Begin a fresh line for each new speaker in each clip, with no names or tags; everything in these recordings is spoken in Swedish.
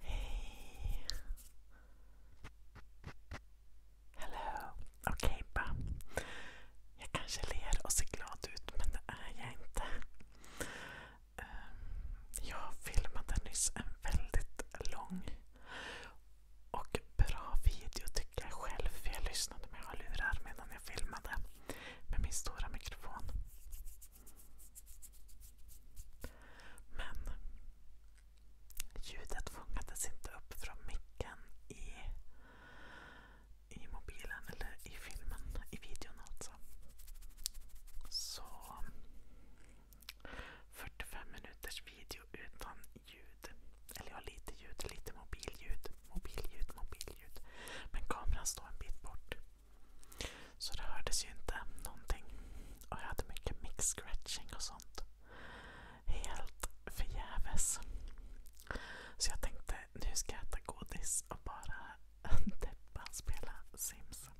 Hej. Hello. Okej, okay, Jag kanske ler och ser glad ut, men det är jag inte. Ehm, jag filmade nyss en väldigt lång och bra video tycker jag själv, för jag lyssnade med hörlurar medan jag filmade med min stora mikrofon. Men ljudet fångades inte upp från micken i, mobilen eller i filmen, i videon alltså. Så 45 minuters video utan ljud. Eller ja, lite ljud, lite mobilljud. Mobilljud, mobilljud. Men kameran står en bit bort. Så det hördes ju inte någonting. Och jag hade mycket mix scratching och sånt. Helt förgäves. Så jag tänkte, nu ska jag äta godis och bara deppa och spela Sims.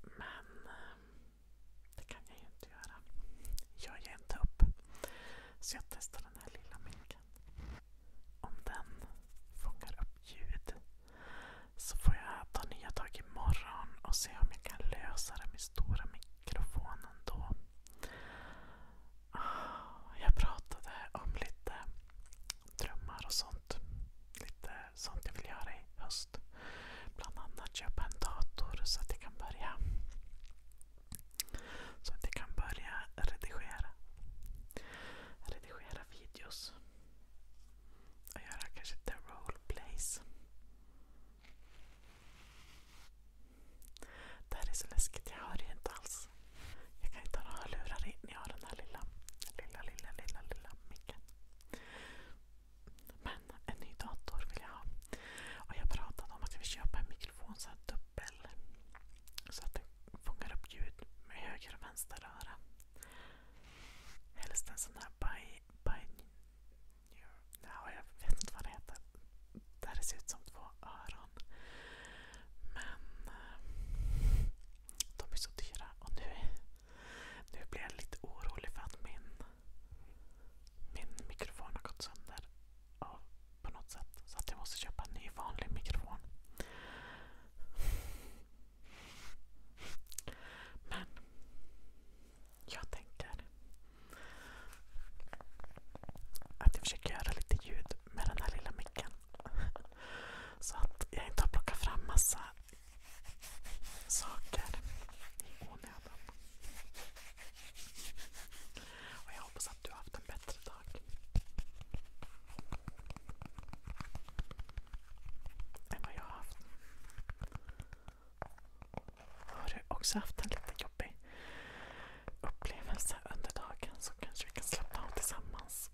Men eh, det kan jag ju inte göra. Jag ger inte upp. Så jag testar den här lilla micken om den fångar upp ljud så får jag ta nya tag imorgon och se om jag kan lösa det med stora mikrofonen då. Ah, jag pratade om lite drömmar och sånt. Lite sånt jag vill göra i höst. Bland annat köpa en dator så att jag kan börja så att jag kan börja redigera redigera videos. Och göra kanske lite roleplays. Det här är så läskigt, jag hör ju inte alls. Jag kan inte ha några lurar in. Jag har den här lilla, lilla, lilla, lilla, lilla micken. Men en ny dator vill jag ha. Och jag pratade om att jag vill köpa en mikrofon, så här koppel. Så att den fångar upp ljud med höger och vänster öra. Helst en sån här by, by, ja, jag vet inte vad det heter. Där det ser ut som två öron. Men eh, de är så dyra och nu, nu blir jag lite orolig för att min, min mikrofon har gått sönder av på något sätt. Så att jag måste köpa en ny vanlig mikrofon. Men jag tänker att jag försöker göra lite ljud med den här lilla micken. Så att jag inte har plockat fram massa saker i onödan. Och jag hoppas du har haft en bättre dag. Än vad jag har haft. Har du också haft en lite jobbig upplevelse under dagen så kanske vi kan slappna av tillsammans.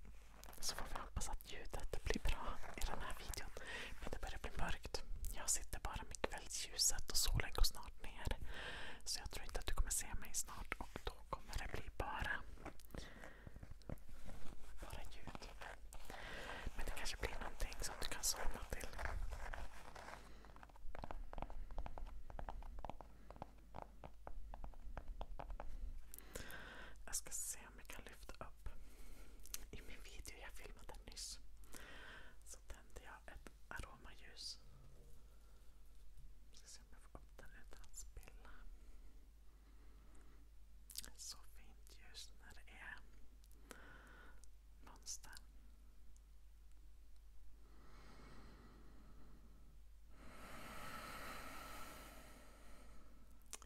Så får vi hoppas att ljudet blir bra i den här videon. Men det börjar bli mörkt. Jag sitter bara med kvällsljuset och solen går snart ner. Så jag tror inte att du kommer se mig snart och då kommer det bli bara bara ljud. Men det kanske blir någonting som du kan somna till. Jag ska se om jag kan lyfta upp i min video jag filmade nyss. Så tände jag ett aromaljus. Jag ska se SMF8 utan att spilla. Så fint ljus när det är monster.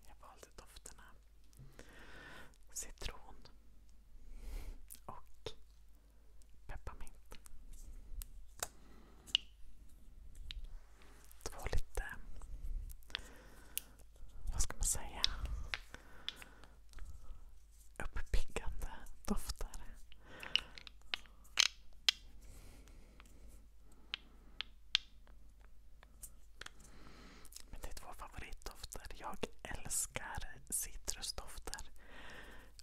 Jag valde dofterna citron och pepparmint. Det var lite... Vad ska man säga? Uppiggande dofter. Men det är två favoritdofter. Jag älskar citrusdofter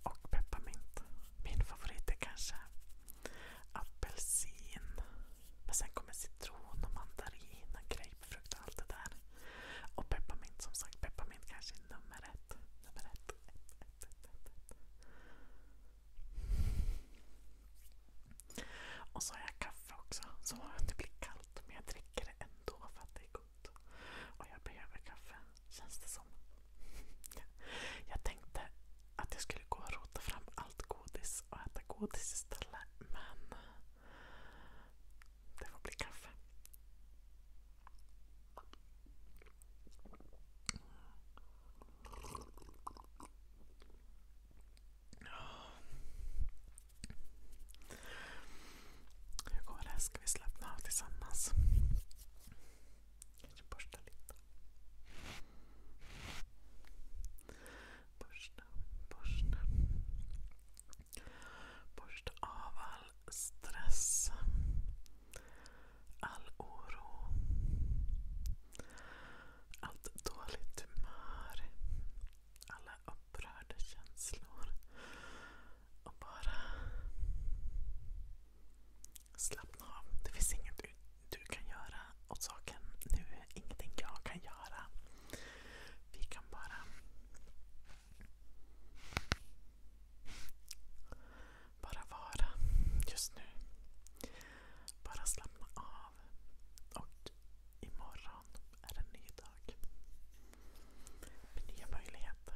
och pepparmint. Min favorit är kanske apelsin. Men sen kommer citron och mandarin och grapefrukt och allt det där. Och pepparmint som sagt. Pepparmint kanske är nummer ett. Nummer ett, ett, ett, ett, ett. Och så har jag kaffe också. Så det blir kallt men jag dricker det ändå för att det är gott. Och jag behöver kaffe känns det som. Jag tänkte att jag skulle gå och rota fram allt godis och äta godis istället. Men det får bli kaffe. Hur går det? Ska vi slappna av tillsammans? Kanske borsta lite. Borsta, borsta. Borsta av all stress. All oro. Allt dåligt humör. Alla upprörda känslor. Och bara Slappna av. Det finns inget du, du kan göra åt saken nu. Ingenting jag kan göra. Vi kan bara bara vara just nu. Bara slappna av. Och imorgon är en ny dag. Med nya möjligheter.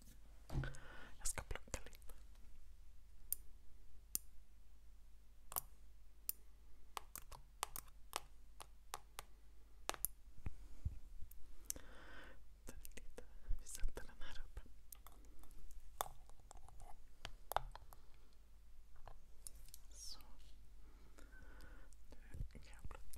Jag ska plocka lite. Lite. Vi sätter den här uppe. Så. Nu kan jag plocka lite.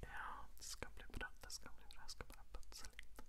Ja, det ska bli bra. Det ska bli bra. Jag ska bara putsa lite.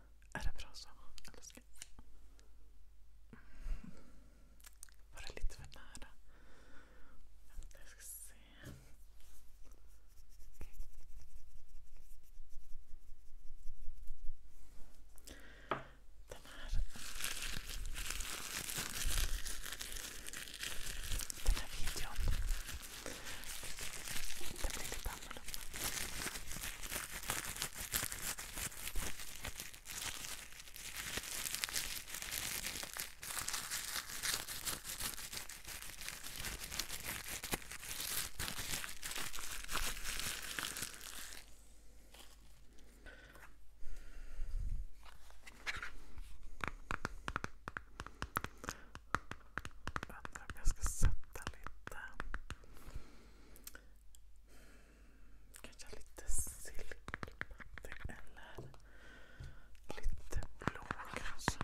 Är det bra så? Eller ska... Var det lite för nära? jag ska se. Den här... Den här videon det blir lite annorlunda. Undrar om jag ska sätta lite... Kanske lite silkepattig eller lite blå kanske.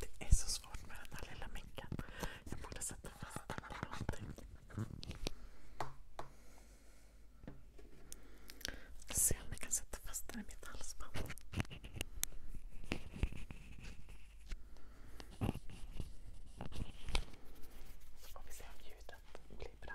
Det är så svårt med den här lilla micken. Jag borde sätta fast den eller någonting. Se om jag kan sätta fast den i mitt halsband. Så får vi se om ljudet blir bra.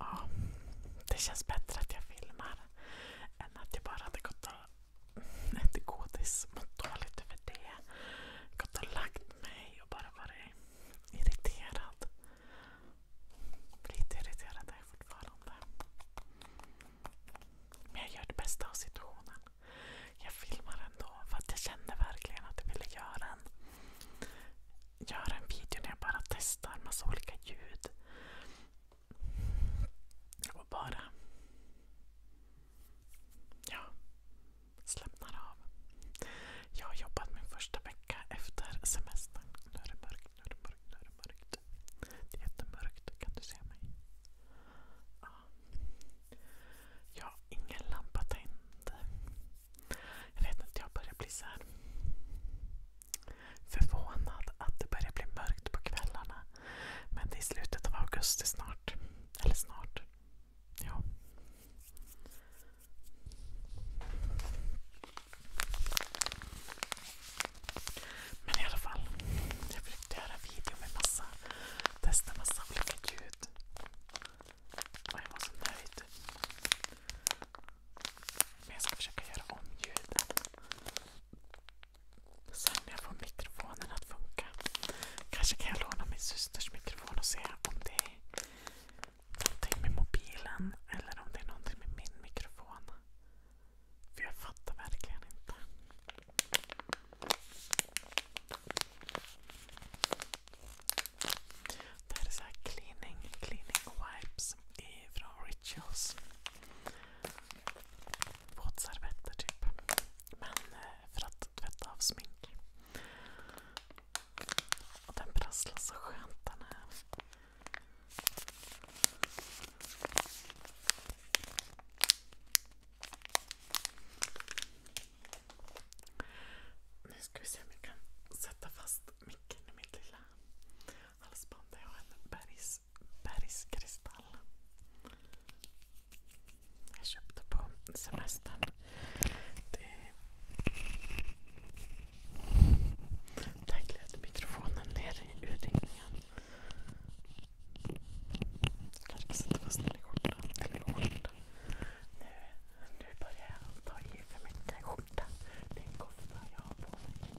Ja, det känns bättre att jag filmar än att jag bara hade gått och ätit godis, mått dåligt över det. Gått och lagt mig och bara varit irriterad. Lite irriterad är jag fortfarande. Men jag gör det bästa av situationen. Jag filmar ändå för att jag kände verkligen att jag ville göra en, göra en video när jag bara testar massa olika ljud. Och bara ja, slappnar av. Jag har jobbat min första vecka efter semestern. Nu är det mörkt, nu är det mörkt, nu är det mörkt. Det är jättemörkt. Kan du se mig? Jag har ingen lampa tänd. Jag vet inte, jag börjar bli så här förvånad att det börjar bli mörkt på kvällarna. Men det är slutet av augusti snart. Eller snart. Ja. Men i alla fall. Jag försökte göra en video med massa, testa massa olika ljud. Och jag var så nöjd. Men jag ska försöka göra om ljuden. Sen när jag får mikrofonen att funka. Kanske kan jag låna min systers mikrofon och se om det är någonting med mobilen eller om det är någonting med min mikrofon. För jag fattar verkligen inte. Det här är så här cleaning, cleaning wipes från Rituals. Våtservetter typ. Men eh, för att tvätta av smink. Och den prasslar så skönt den här. Nu ska vi se om jag kan sätta fast micken i mitt lilla halsband där jag har en bergskristall. Jag köpte på semestern. Där gled mikrofonen ner i urringningen. Jag kanske sätter fast den i skjortan snart. Nu, börjar jag ta i för mycket skjorta. Det är en kofta jag har på mig.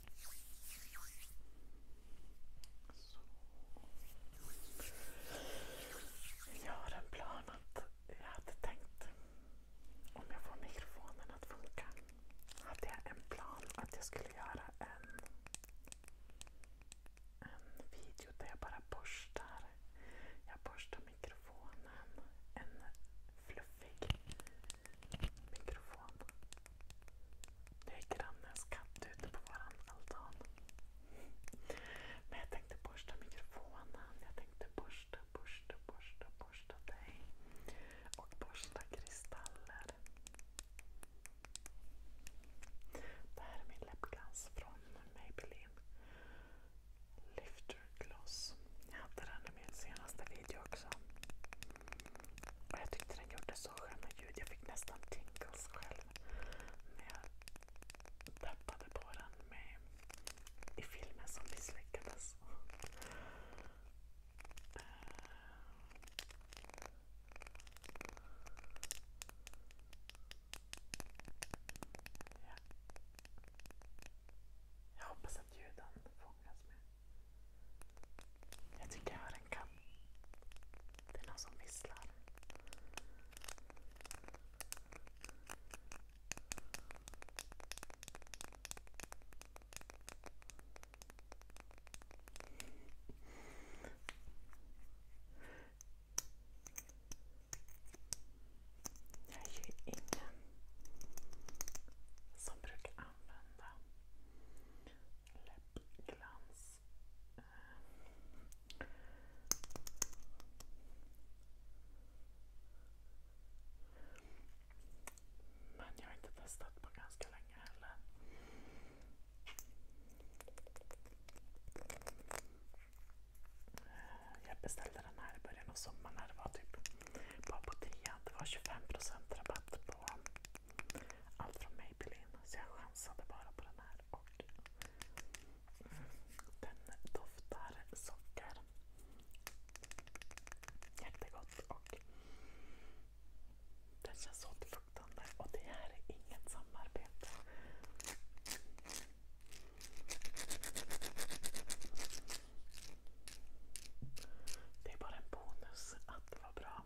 Jag har en plan att jag hade tänkt, om jag får mikrofonen att funka, hade jag en plan att jag skulle göra en, en video där jag bara borstar. Jag borstar mikrofonen. En fluffig mikrofon det är grannens katt ute på våran altan. Men jag tänkte borsta mikrofonen. Jag tänkte borsta, borsta, borsta dig. Och borsta kristaller. Det här är min läppglans från Maybelline. Lifter Gloss. Jag hade den i min senaste video också jag tyckte den gjorde så sköna ljud. Jag fick nästan tingles själv när jag tappade på den i filmen som misslyckades. Eh, jag hoppas att ljuden fångas med. Jag tycker jag hör en katt. Det är någon som visslar. Jag är ju ingen som brukar använda läppglans. Men jag har inte testat på ganska länge heller. Jag beställde den här i början av sommaren när det var typ bara på 10. Det var 25% rabatt på allt från Maybelline. Så jag chansade bara på den här. Och den doftar socker. Jättegott. Och den känns återfuktande. Och det här är inget samarbete. Det är bara en bonus att det var bra.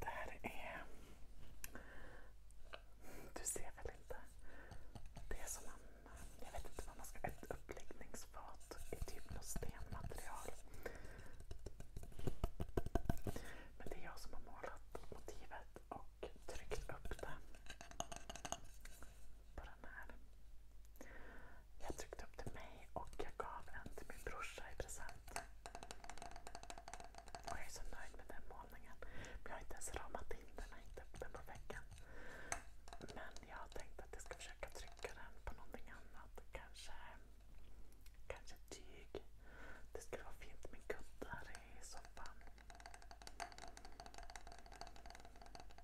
Det här är... Du ser väl inte? Det är som en... Jag vet inte vad man ska... Ett uppläggningsfat i typ något stenmaterial. Men det är jag som har målat motivet och tryckt upp det på den här. Jag tryckte upp till mig och jag gav en till min brorsa i present. Och jag är så nöjd med den målningen. Jag har inte ens ramat in den, jag har inte upp den på väggen. Men jag har tänkt att jag ska försöka trycka den på någonting annat. Kanske, kanske tyg. Det skulle vara fint med kuddar i soffan.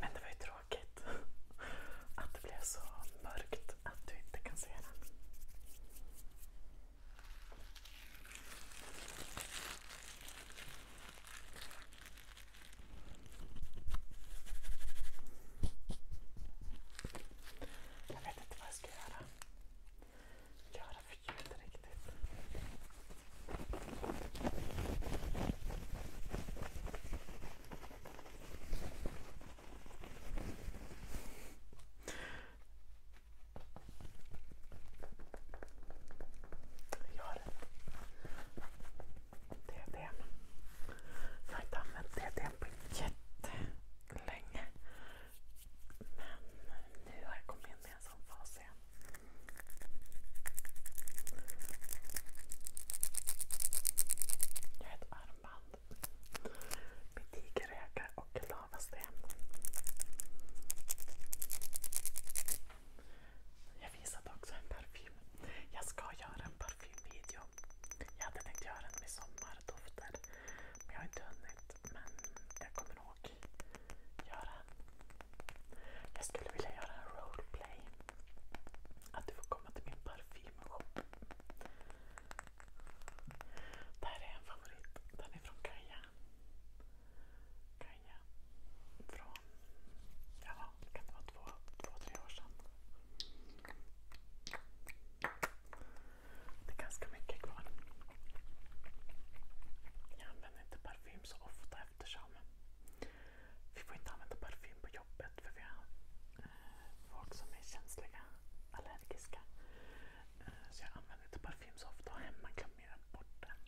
Men det var ju tråkigt att det blev så mörkt att du inte kan se den. Jag vet inte vad jag ska göra. Göra för ljud riktigt. Jag har ett DDM. Jag har inte använt DDM på jättelänge. Men nu har jag kommit in i en sån fas igen. Jag har ett armband med tigeröga och lavasten. Jag visade också en parfym. Jag ska göra en parfymvideo. Jag hade tänkt göra en med sommardofter. Men jag har inte hunnit. Men jag kommer nog göra en. Jag skulle vilja göra en roleplay. Att du får komma till min parfymshop. Det här är en favorit. Den är från Kaja var, ja, kan det vara två, två, tre år sedan. Det är ganska mycket kvar. Jag använder inte parfym så ofta eftersom vi får inte använda parfym på jobbet för vi har eh, folk som är känsliga, allergiska. Eh, så jag använder inte parfym så ofta och hemma glömmer jag bort den.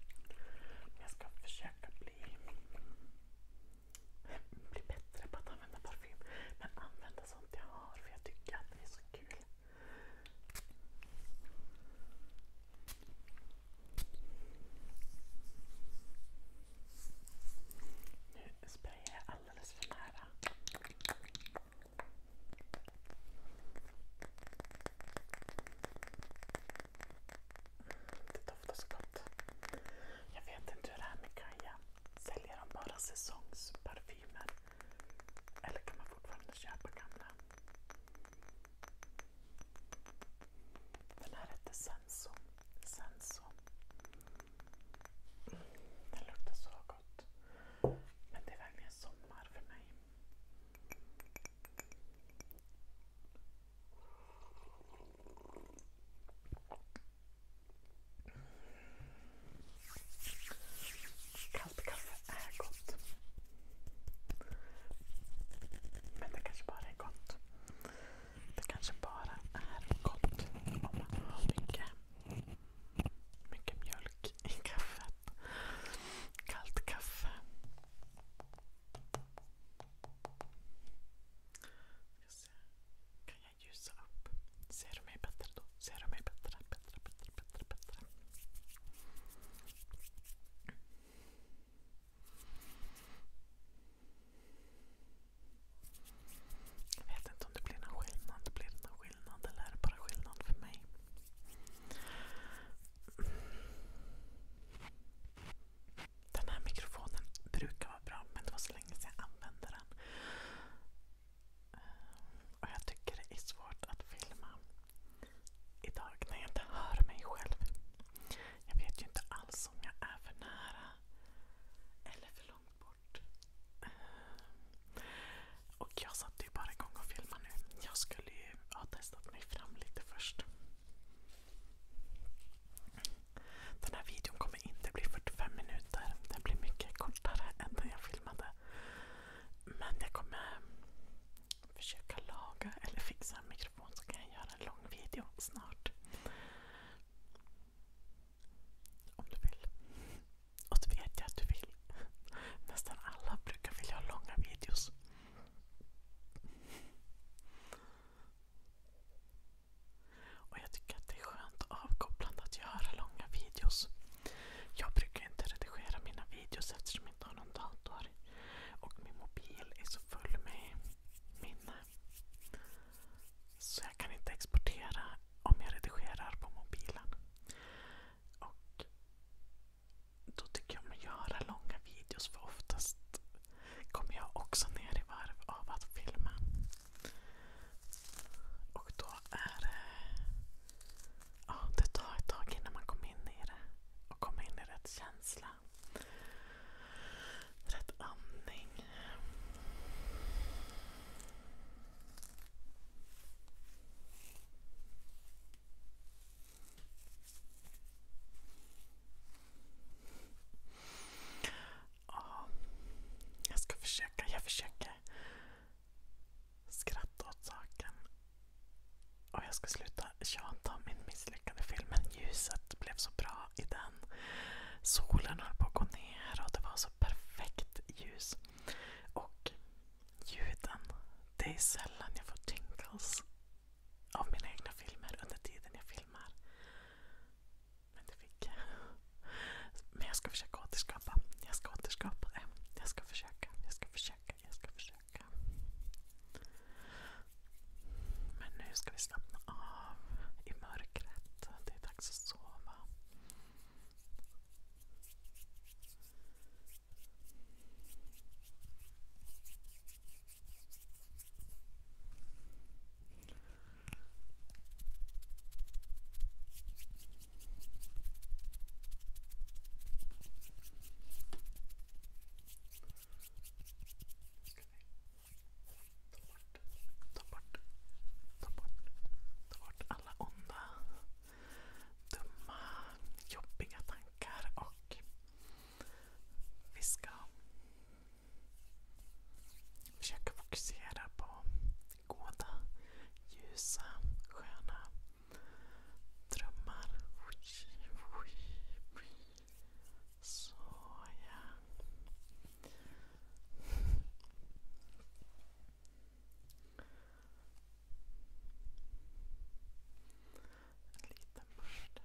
Men jag ska försöka bli bli bättre på att använda parfym. Men använda sånt jag har för jag tycker att det är så kul. Nu sprayar jag alldeles för nära. Det doftar så gott. Jag vet inte hur det är med Kaja. Säljer de bara säsongsparfymer? Eller kan man fortfarande köpa gamla? Den här heter Senso. Senso. Mm, den luktar så gott. Men det är verkligen sommar för mig. Kallt kaffe är gott. Men det kanske bara är gott. Det kanske bara är gott om man har mycket, mycket mjölk i kaffet. Kallt kaffe. Kan jag ljusa upp? Ser du mig bättre då? Ser du mig bättre? Bättre, bättre, bättre, bättre. Jag vet inte om det blir någon skillnad. Det blir det någon skillnad eller är det bara skillnad för mig? Den här mikrofonen brukar vara bra men det var så länge sedan jag använde den. Eh, och jag tycker det är svårt att filma idag när jag inte hör mig själv. Jag vet ju inte alls om jag är för nära eller för långt bort. Eh, och jag satte ju bara igång och filmade nu. Jag skulle ju ha testat mig fram lite först. Den här videon kommer inte bli 45 minuter. Den blir mycket kortare än den jag filmade. Men jag kommer försöka laga eller fixa en mikrofon så kan jag göra en lång video snart. Om du vill. Och det vet jag att du vill. Nästan alla brukar vilja ha långa videos. Och jag tycker att det är skönt och avkopplande att göra långa videos. Jag brukar inte redigera mina videos eftersom jag inte har någon dator. Och min mobil är så full med minne. Så jag kan inte exportera om jag redigerar på mobilen. Och då tycker jag om att göra långa videos för oftast kom jag också ner i varv av att filma. Och då är det... Ja, det tar ett tag innan man kommer in i det och kommer in i rätt känsla. Rätt andning jag ska försöka. Jag försöker skratta åt saken. Och jag ska sluta tjata om min misslyckade film. Men ljuset blev så bra i den. Solen höll på att gå ner och det var så perfekt ljus. Och ljuden. Det är sällan jag får tingles av mina egna filmer under tiden jag filmar. Men det fick jag. Men jag ska försöka återskapa. Jag ska återskapa det. Jag ska försöka, jag ska försöka, jag ska försöka. Men nu ska vi slappna av i mörkret. Det är dags att sova. Ta bort, ta bort, ta bort alla onda, dumma, jobbiga tankar och vi Försöka fokusera på goda, ljusa, sköna drömmar. Så ja. En liten börda. En liten börda.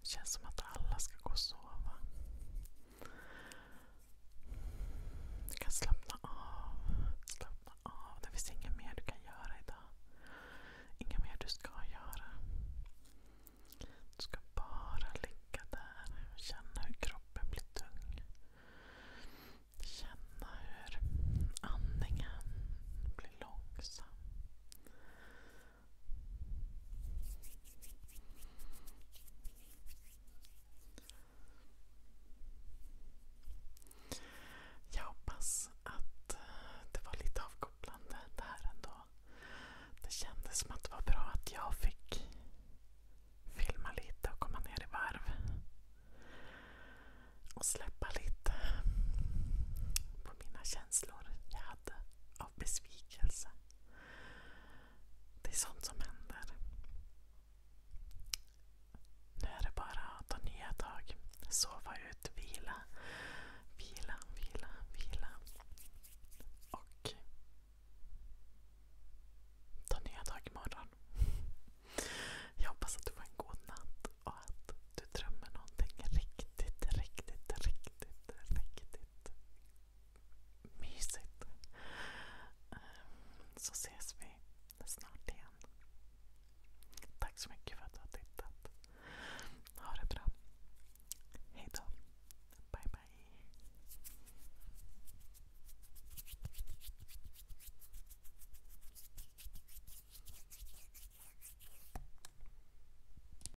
Det känns som att alla ska gå och sova. Du kan slappna av. Slappna av. Det finns inget mer du kan göra idag. Inget mer du ska göra. Du ska bara ligga där och känna hur kroppen blir tung. Känna hur andningen blir långsam. Jag hoppas att eh, det var lite avkopplande det här ändå. Det kändes som att det var bra att jag fick filma lite och komma ner i varv. Och släppa lite på mina känslor jag hade av besvikelse. Det är sånt som händer. Nu är det bara att ta nya tag. Sova ut, vila, vila, vila, vila. Och ta nya tag imorgon. Jag hoppas att du får en god natt och att du drömmer någonting riktigt, riktigt, riktigt, riktigt mysigt. Ehm, så ses vi snart igen. Tack så mycket för att du har tittat. Ha det bra. Hejdå. Bye bye.